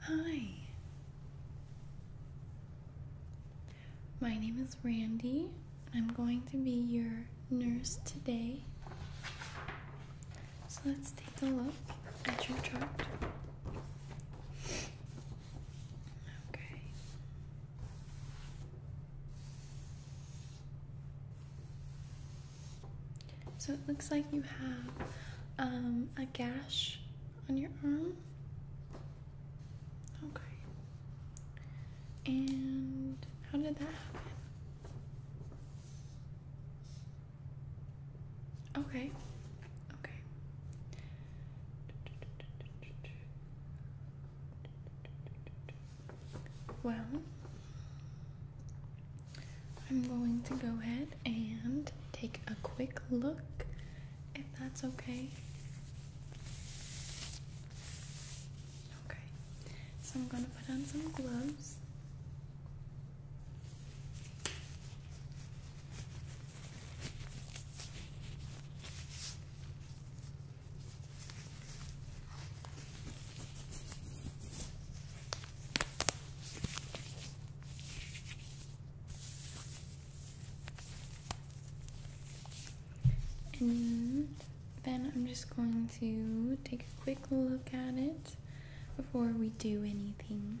Hi. My name is Randy. I'm going to be your nurse today. So let's take a look at your chart. Okay. So it looks like you have um, a gash on your arm. Okay. And how did that happen? Okay. Okay. Well, I'm going to go ahead and take a quick look if that's okay. Okay, so I'm going to put on some gloves. And then I'm just going to take a quick look at it before we do anything.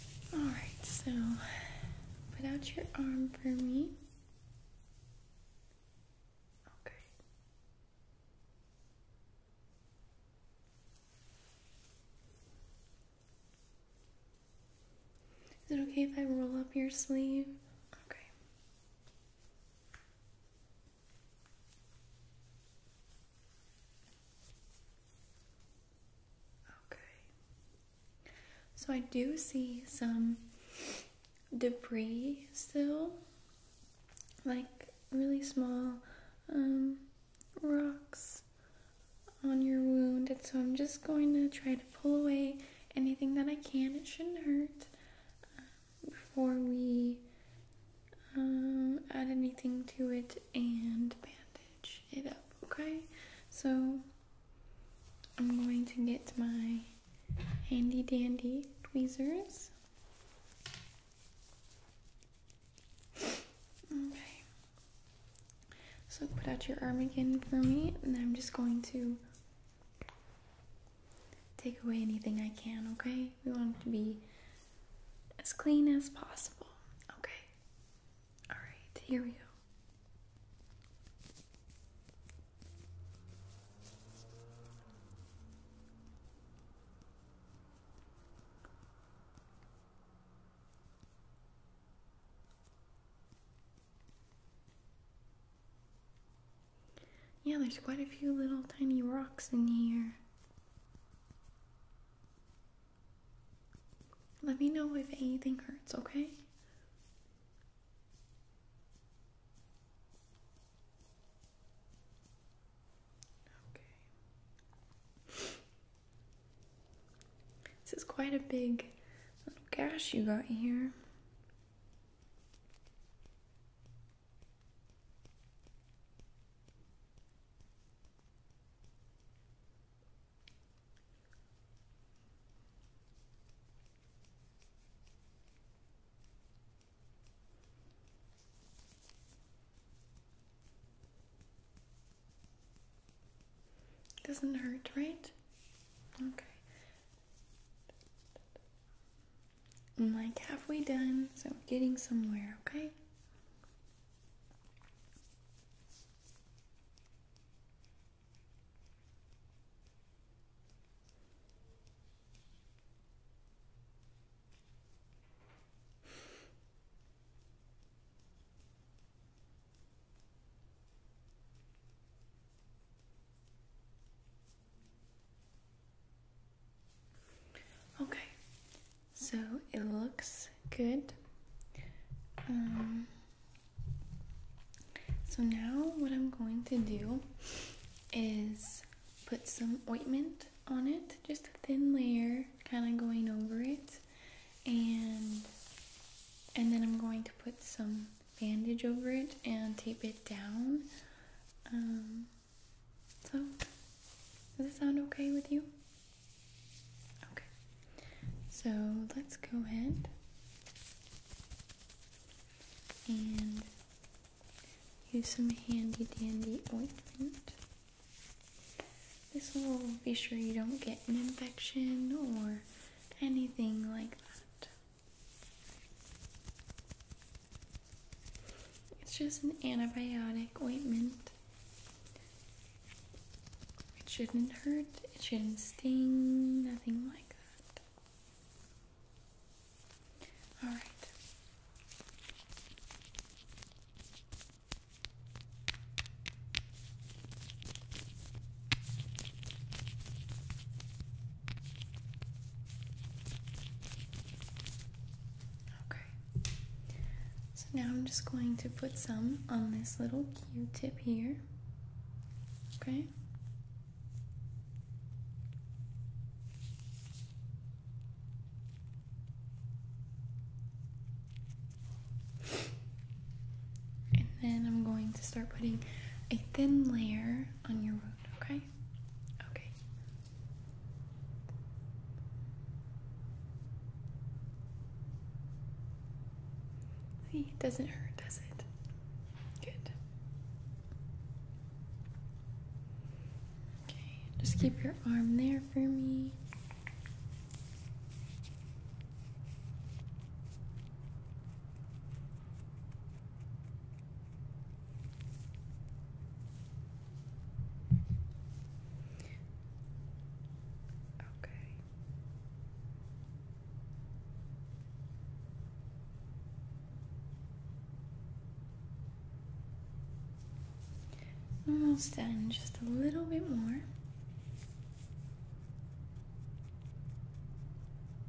Alright, so put out your arm for me. Okay. Is it okay if I roll up your sleeve? Okay. Okay. So I do see some debris still, like really small um, rocks on your wound. And so I'm just going to try to pull away anything that I can. It shouldn't hurt um, before we um, add anything to it and bandage it up, okay? So I'm going to get my handy dandy tweezers. Okay. So put out your arm again for me, and I'm just going to take away anything I can, okay? We want to be as clean as possible. Okay. All right, here we go. Yeah, there's quite a few little tiny rocks in here. Let me know if anything hurts, okay? Okay. This is quite a big little gash you got here. Doesn't hurt, right? Okay. I'm like halfway done, so we're getting somewhere, okay? Okay, so it looks good. Um, so now what I'm going to do is put some ointment on it, just a thin layer, kind of going over it, and and then I'm going to put some bandage over it and tape it down. Um, so, does it sound okay with you? Okay. So, let's go ahead and use some handy dandy ointment. This will be sure you don't get an infection or anything like that. It's just an antibiotic ointment. It shouldn't hurt, it shouldn't sting, nothing like that. Alright. Okay. So now I'm just going to put some on this little Q tip here. Okay. And then I'm going to start putting a thin layer on your root, okay? Okay. See, it doesn't hurt, does it? Good. Okay, just keep your arm there for me. Okay. Almost done, just a little bit more.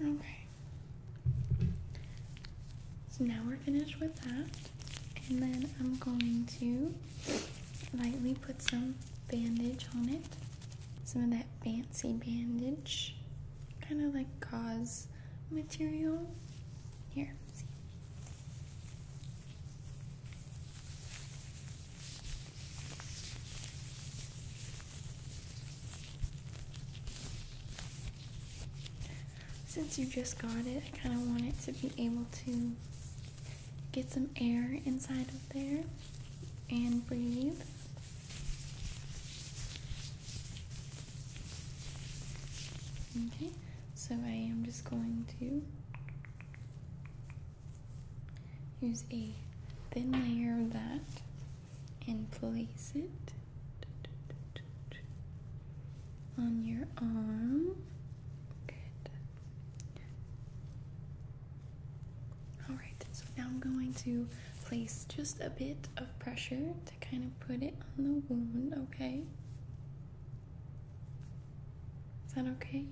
Okay. So now we're finished with that. And then I'm going to lightly put some bandage on it. Some of that fancy bandage. Kind of like gauze material. Here, Since you just got it, I kind of want it to be able to get some air inside of there and breathe. Okay, so I am just going to use a thin layer of that and place it on your arm. Alright, so now I'm going to place just a bit of pressure to kind of put it on the wound, okay? Is that okay?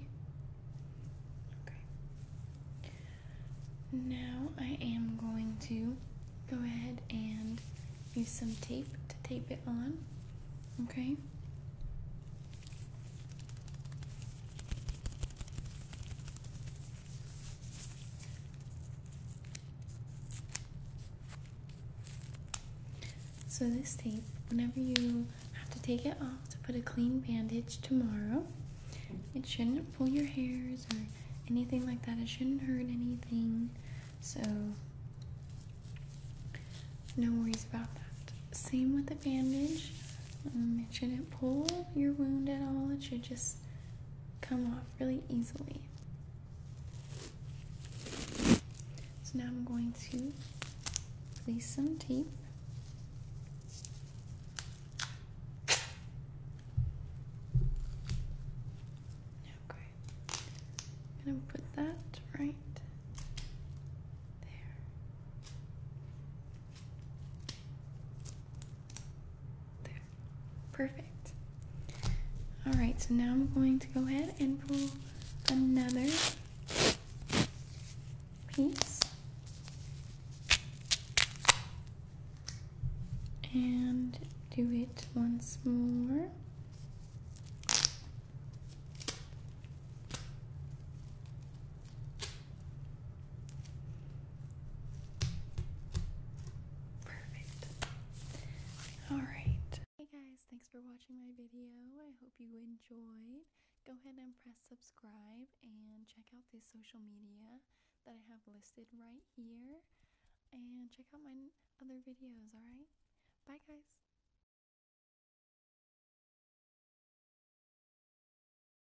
Okay. Now I am going to go ahead and use some tape to tape it on, okay? So this tape, whenever you have to take it off to put a clean bandage tomorrow, it shouldn't pull your hairs or anything like that. It shouldn't hurt anything. So no worries about that. Same with the bandage. Um, it shouldn't pull your wound at all. It should just come off really easily. So now I'm going to place some tape. Okay. I'm going to put that right there. There. Perfect. Alright, so now I'm going to go ahead and pull another piece. And do it once more. Perfect. All right. Hey guys, thanks for watching my video. I hope you enjoyed. Go ahead and press subscribe and check out the social media that I have listed right here. And check out my other videos, alright? Bye guys!